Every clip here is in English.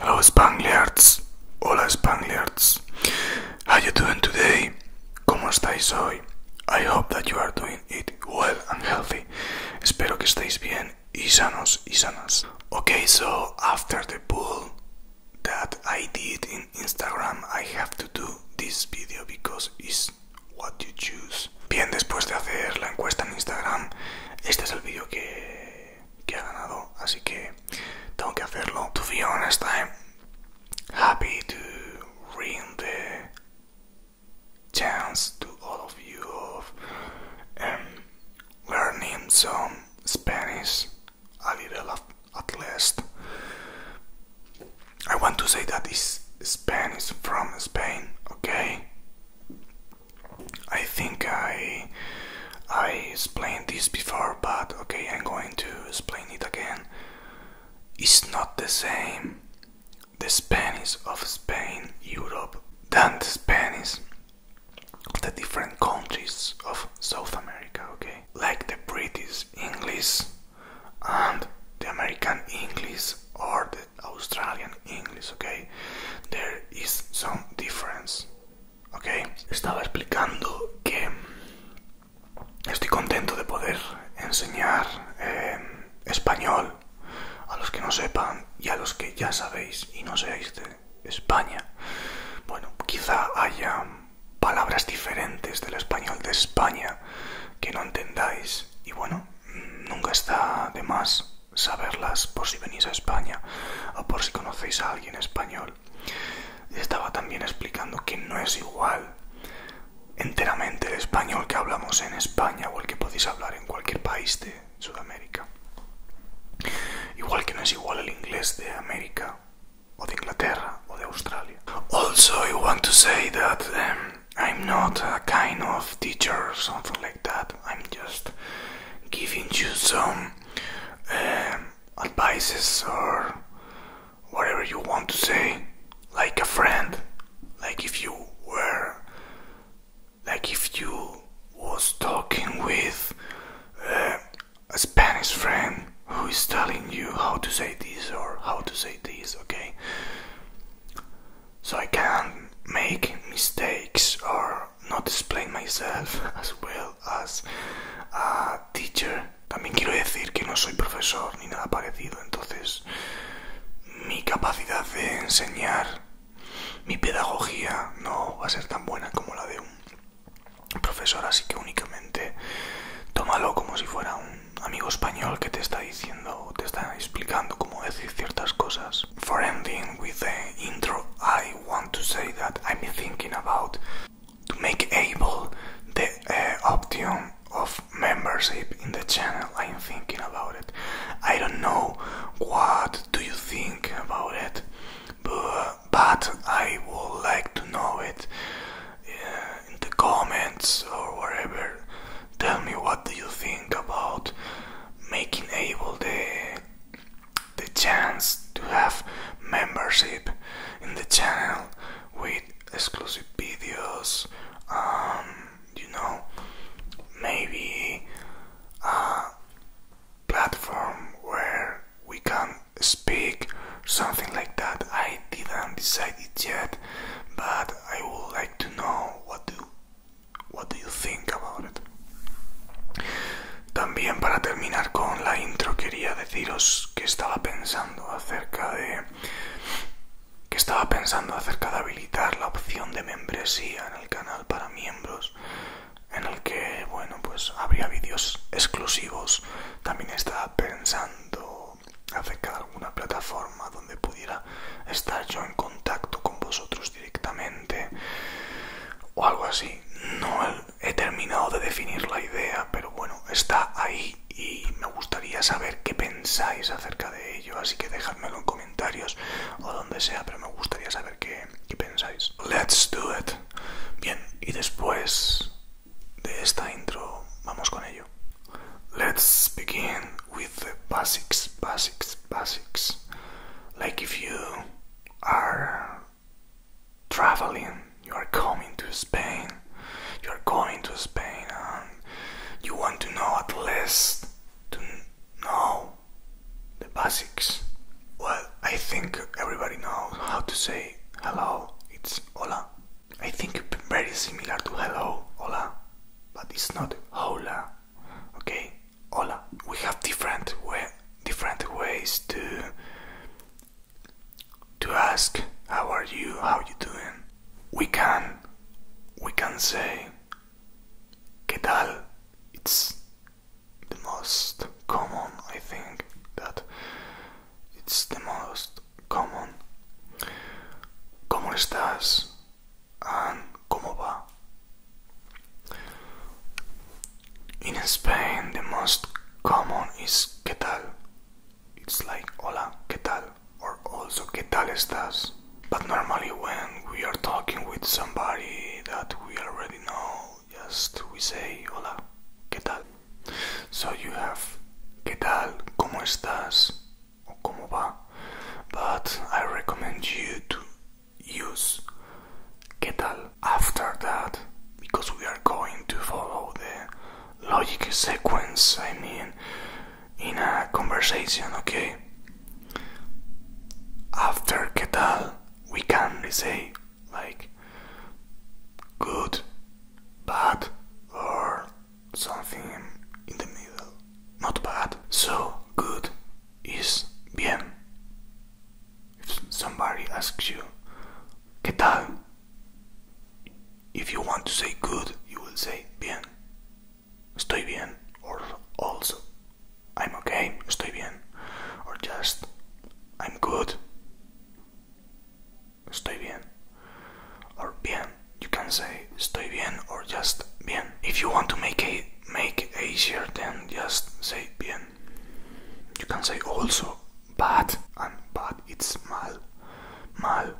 Hello Spangliards, hola Spangliards, how you doing today? ¿Cómo estáis hoy? I hope that you are doing it well and healthy. Espero que estéis bien y sanos y sanas. Okay, so after the pool, that I did in Instagram I have to do this video because it's what you choose. Bien, después de hacer la encuesta en Instagram, este es el vídeo que, que ha ganado, así que tengo que hacerlo. To be honest, I'm happy to ring the chance to all of you of um, learning some Spanish Avirela at last. I want to say that is Spanish from Spain, okay? I think I I explained this before, but okay, I'm going to explain it again. It's not the same the Spanish of Spain, Europe, than the Spanish the different countries of South America, okay? Like the British English and the American English or the Australian English, okay? There is some difference, okay? Estaba explicando que estoy contento de poder enseñar eh, español a los que no sepan y a los que ya sabéis y no seáis de España. Bueno, quizá haya palabras diferentes del español de España que no entendáis y bueno, nunca está de más saberlas por si venís a España o por si conocéis a alguien español. Estaba también explicando que no es igual enteramente el español que hablamos en España o el que podéis hablar en cualquier país de Sudamérica. Also, I want to say that um, I'm not a kind of teacher something like that. I'm just giving you some um, advices or whatever you want to say, like a friend, like if you were, like if you was talking with a Spanish friend who is telling you how to say this or how to say this, okay? So I can make mistakes or not explain myself as well as a teacher. También quiero decir que no soy profesor ni nada parecido, entonces mi capacidad de enseñar Mi pedagogía no va a ser tan buena como la de un profesor, así que únicamente tómalo como si fuera un amigo español que te está diciendo, o te está explicando cómo decir ciertas cosas. For ending with the intro, I want to say that I'm thinking about to make able the uh, option of membership in the channel. I'm thinking about it. I don't know what do you think about it. but I would like to know it uh, in the comments or wherever. Tell me what do you think about making able the the chance to have membership in the channel with exclusive videos. Um, you know, maybe uh, platform where we can speak, something like that. I didn't decide it yet, but I would like to know what do, what you think about it. También para terminar con la intro quería deciros que estaba pensando acerca de que estaba pensando acerca de habilitar la opción de membresía en el canal para miembros en el que bueno pues habría vídeos exclusivos también estaba pensando acerca de alguna plataforma donde pudiera estar yo en contacto con vosotros directamente o algo así no he terminado de definir la idea pero bueno está ahí y me gustaría saber qué pensáis acerca de ello así que dejadmelo en comentarios o donde sea pero me gustaría saber qué let Let's do it. Bien, y después de esta intro vamos con ello. Let's begin with the basics, basics, basics. Like if you are traveling, you are coming to Spain, you are going to Spain and you want to know at least to know the basics. Well, I think everybody knows how to say hello, it's hola. I think very similar to hello, hola, but it's not hola. Okay, hola. We have different way, different ways to to ask how are you, how you doing. We can we can say ¿Qué tal? It's the most common, I think that it's the most common. ¿Cómo estás? And ¿Cómo va? In Spain, the most common is ¿Qué tal? It's like hola, ¿Qué tal? Or also ¿Qué tal estás? But normally, when we are talking with somebody that we already know, just we say hola, ¿qué tal? So you have ¿qué tal? ¿Cómo estás? o ¿cómo va? But I recommend you to use ¿qué tal? after that because we are going to follow the logic sequence, I mean, in a conversation, okay? After que tal, we can say like good, bad, or something in the middle. Not bad. So good is bien. If somebody asks you, ¿Qué tal? If you want to say good, you will say bien estoy bien, or also I'm okay, estoy bien, or just I'm good, estoy bien, or bien. You can say estoy bien or just bien. If you want to make it make easier, then just say bien. You can say also bad and bad. It's mal, mal.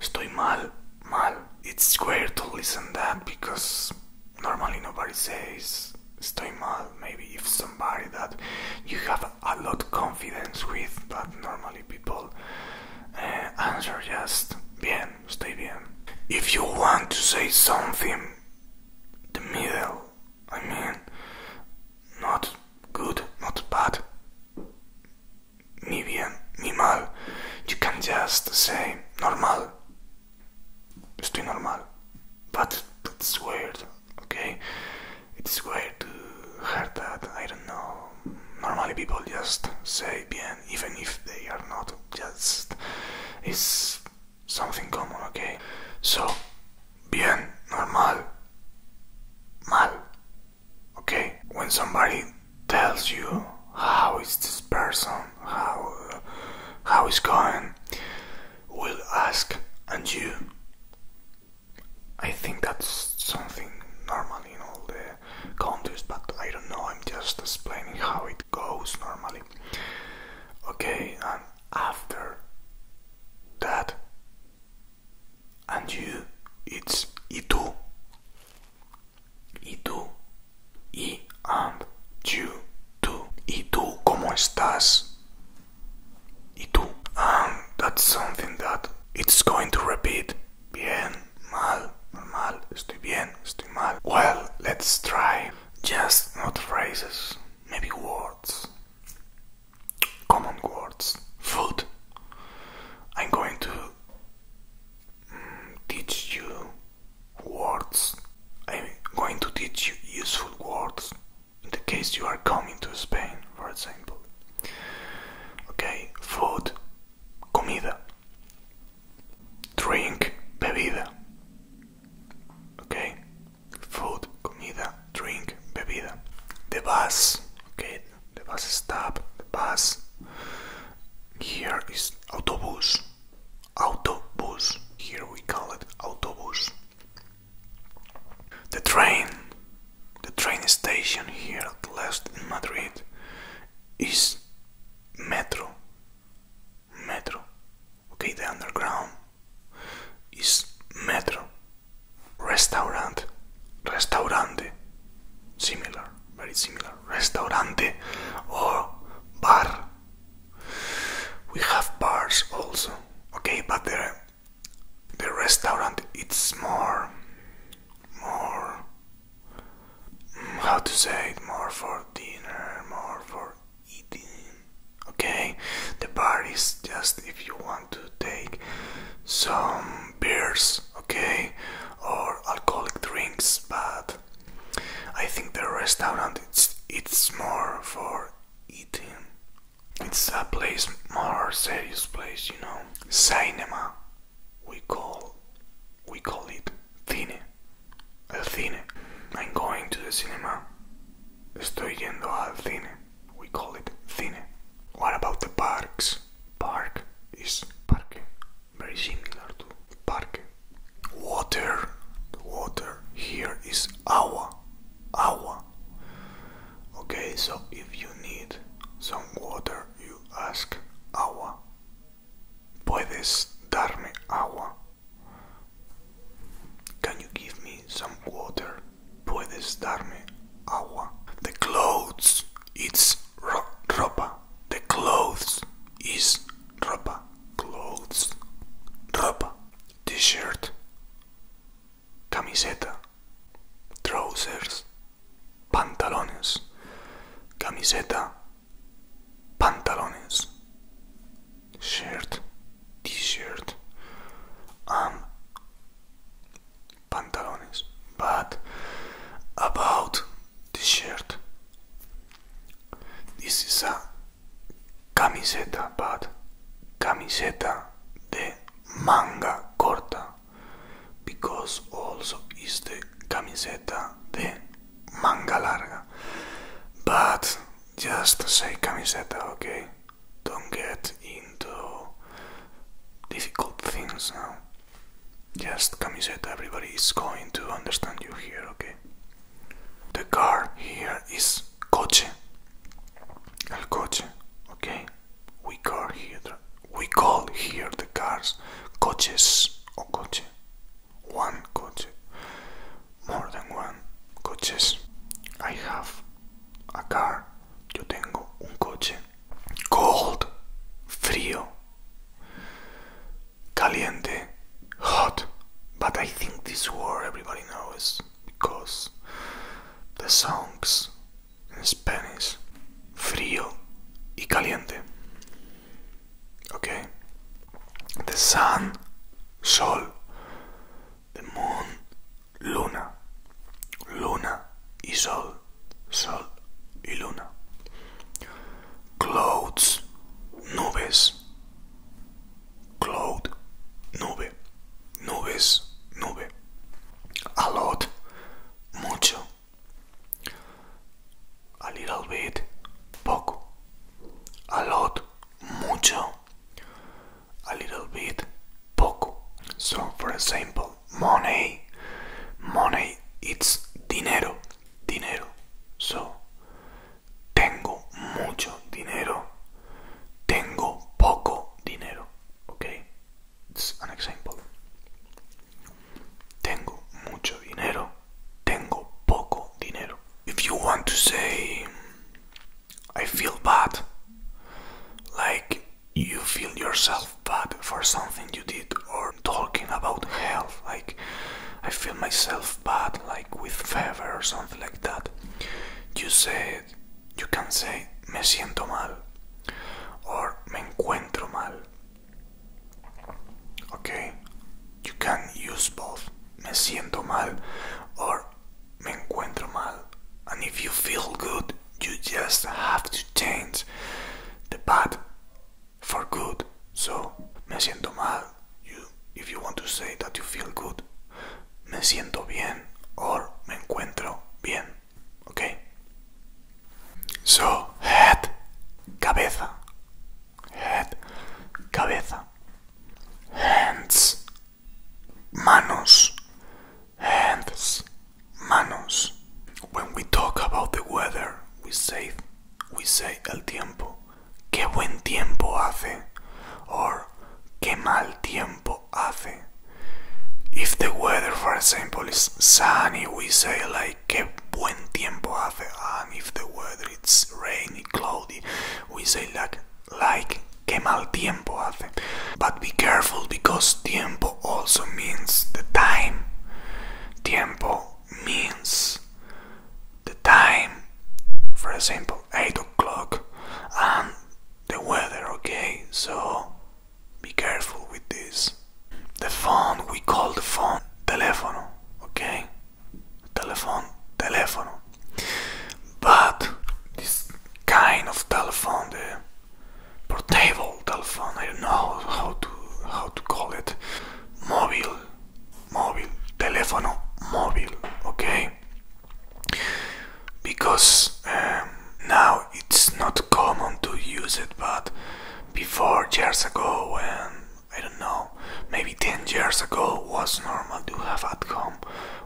Estoy mal. Mal, it's square to listen that because normally nobody says stay mal. Maybe if somebody that you have a lot confidence with, but normally people uh, answer just bien, estoy bien. If you want to say something, the middle, I mean, not good, not bad, ni bien ni mal. You can just say normal. Estoy normal. But it's weird, okay? It's weird to hear that. I don't know. Normally people just say bien, even if they are not. Just it's something common, okay? So, bien, normal, mal, okay? When somebody tells you how is this person, how how is going, will ask and you. I think that's something normal in all the countries, but I don't know. I'm just explaining how it goes normally. Okay, and after that, and you, it's itu y tú, y and you, tú, y tú, ¿cómo estás? Y tú, and that's something that it's going to repeat. Bien, mal, normal, estoy bien, estoy mal. Well, let's try. Just not phrases, maybe words. Common words. Food. I'm going to teach you words. I'm going to teach you useful words in the case you are coming to Spain, for example. Okay, food, comida. Drink, bebida. Okay, food, comida, drink, bebida. The bus, okay, the bus stop, the bus. Here is autobus, autobus. Here we call it autobus. The train, the train station here at last in Madrid is metro, metro. Okay, the underground is metro. Restaurant, restaurante, similar, very similar. Restaurant or bar. We have bars also, okay, but the the restaurant it's more more mm, how to say it more for dinner, more for eating. Okay, the bar is just if you want to take some beers okay, or alcoholic drinks, but I think the restaurant it's it's more for eating. It's a place more serious place, you know. Cinema, we call we call it cine, el cine. I'm going to the cinema. Estoy yendo al cine. We call it cine. What about the parks? Park is parque. Very similar to parque. Water. Water here is agua. Agua. Okay, so if you need some water, you ask agua. Puedes darme agua. Can you give me some water? Puedes darme agua. The clothes it's ropa. The clothes is ropa. Clothes ropa. T-shirt camiseta. Trousers pantalones. Camiseta pantalones. Shirt t-shirt. Um pantalones. But about the shirt, this is a camiseta, but camiseta de manga corta, because also is the camiseta de manga larga. But just say camiseta, okay? Don't get into difficult things now. Just camiseta, everybody is going to understand you here, okay? The car here is coche. El coche, okay? We call here the, we call here the cars coches or coche. One coche. More than one coches. I have a car yo tengo un cold, frío, caliente, hot. But I think this word everybody knows because the songs in Spanish frío y caliente. Okay? The sun, sol, the moon, luna, luna y sol, sol y luna. Clouds, nubes, cloud, nube, nubes, nube. A lot, mucho. A little bit, poco. A lot, mucho. A little bit, poco. So, for example, money, money, it's dinero, dinero. So, tengo mucho dinero, tengo poco dinero. Okay, it's an example. Tengo mucho dinero, tengo poco dinero. If you want to say, I feel bad, like you feel yourself bad for something you did or talking about health like i feel myself bad like with fever or something like that you say you can say me siento mal or me encuentro mal okay you can use both me siento mal or me encuentro mal and if you feel good you just have to change the bad for good. So, me siento mal, you, if you want to say that you feel good, me siento bien or me encuentro bien. Okay? So, head, cabeza. Head, cabeza. Hands, manos, hands, manos. When we talk about the weather, we say, we say el tiempo. Qué buen tiempo hace, or qué mal tiempo hace. If the weather, for example, is sunny, we say like qué buen tiempo hace, and if the weather it's rainy, cloudy, we say like like que mal tiempo hace. But be careful because tiempo also means the time. Tiempo means the time. For example, 8 o'clock and the weather, okay? So be careful with this. The phone, we call the phone teléfono, okay? teléfono teléfono but this kind of telephone, the portable telephone, I don't know how to how to call it, mobile, mobile, telefono mobile, okay? Because um, now it's not common to use it, but before years ago, and I don't know, maybe 10 years ago was normal to have at home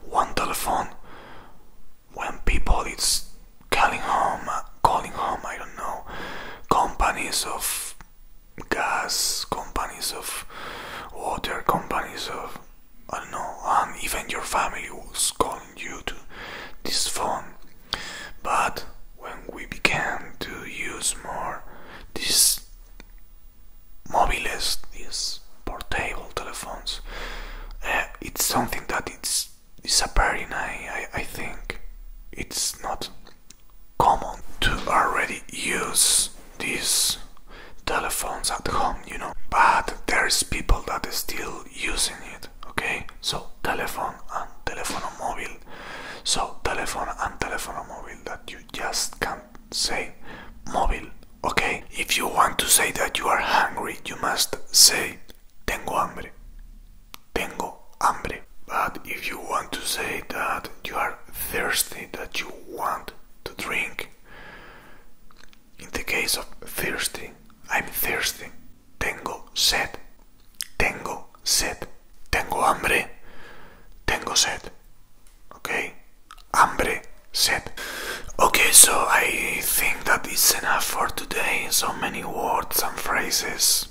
one telephone when people it's calling home, calling home, I don't know, companies of gas, companies of water, companies of I don't know, and even your family was calling you to this phone. But when we began to use more this mobiles, this portable telephones. Uh, it's something that it's disappearing. I, think it's not common to already use these telephones at home, you know. But there's people that are still using it. Okay, so telephone and telephone mobile. So telephone and telephone mobile that you just can't say mobile Okay? If you want to say that you are hungry, you must say tengo hambre. Tengo hambre. But if you want to say that you are thirsty, that you want to drink, in the case of thirsty, I'm thirsty. Tengo sed. Tengo sed. Tengo hambre. Tengo sed. Okay? hombre. sed. Okay, so I think that is enough for today. So many words and phrases.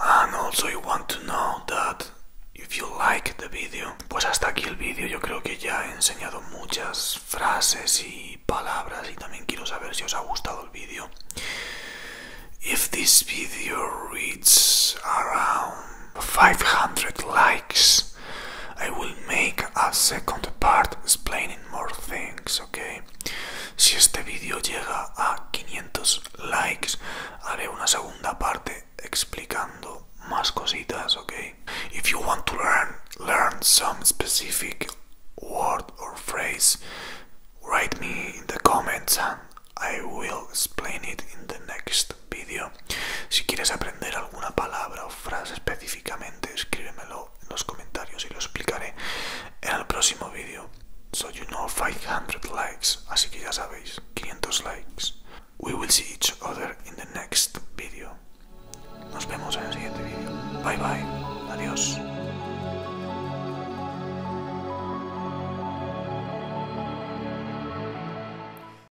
And also you want to know that if you like the video. Pues hasta aquí el vídeo. Yo creo que ya he enseñado muchas frases y palabras y también quiero saber si os ha gustado el vídeo. If this video reaches around 500 likes, I will make a second part explaining more things, ok? Si este vídeo llega a 500 likes, haré una segunda parte explicando más cositas, ok? If you want to learn, learn some specific word or phrase, write me in the comments and I will explain it in the next vídeo. Si quieres aprender alguna palabra o frase específicamente, escríbemelo en los comentarios y lo explicaré en el próximo vídeo. So you know 500 likes, así que ya sabéis, 500 likes. We will see each other in the next video. Nos vemos en el siguiente vídeo. Bye bye. Adiós.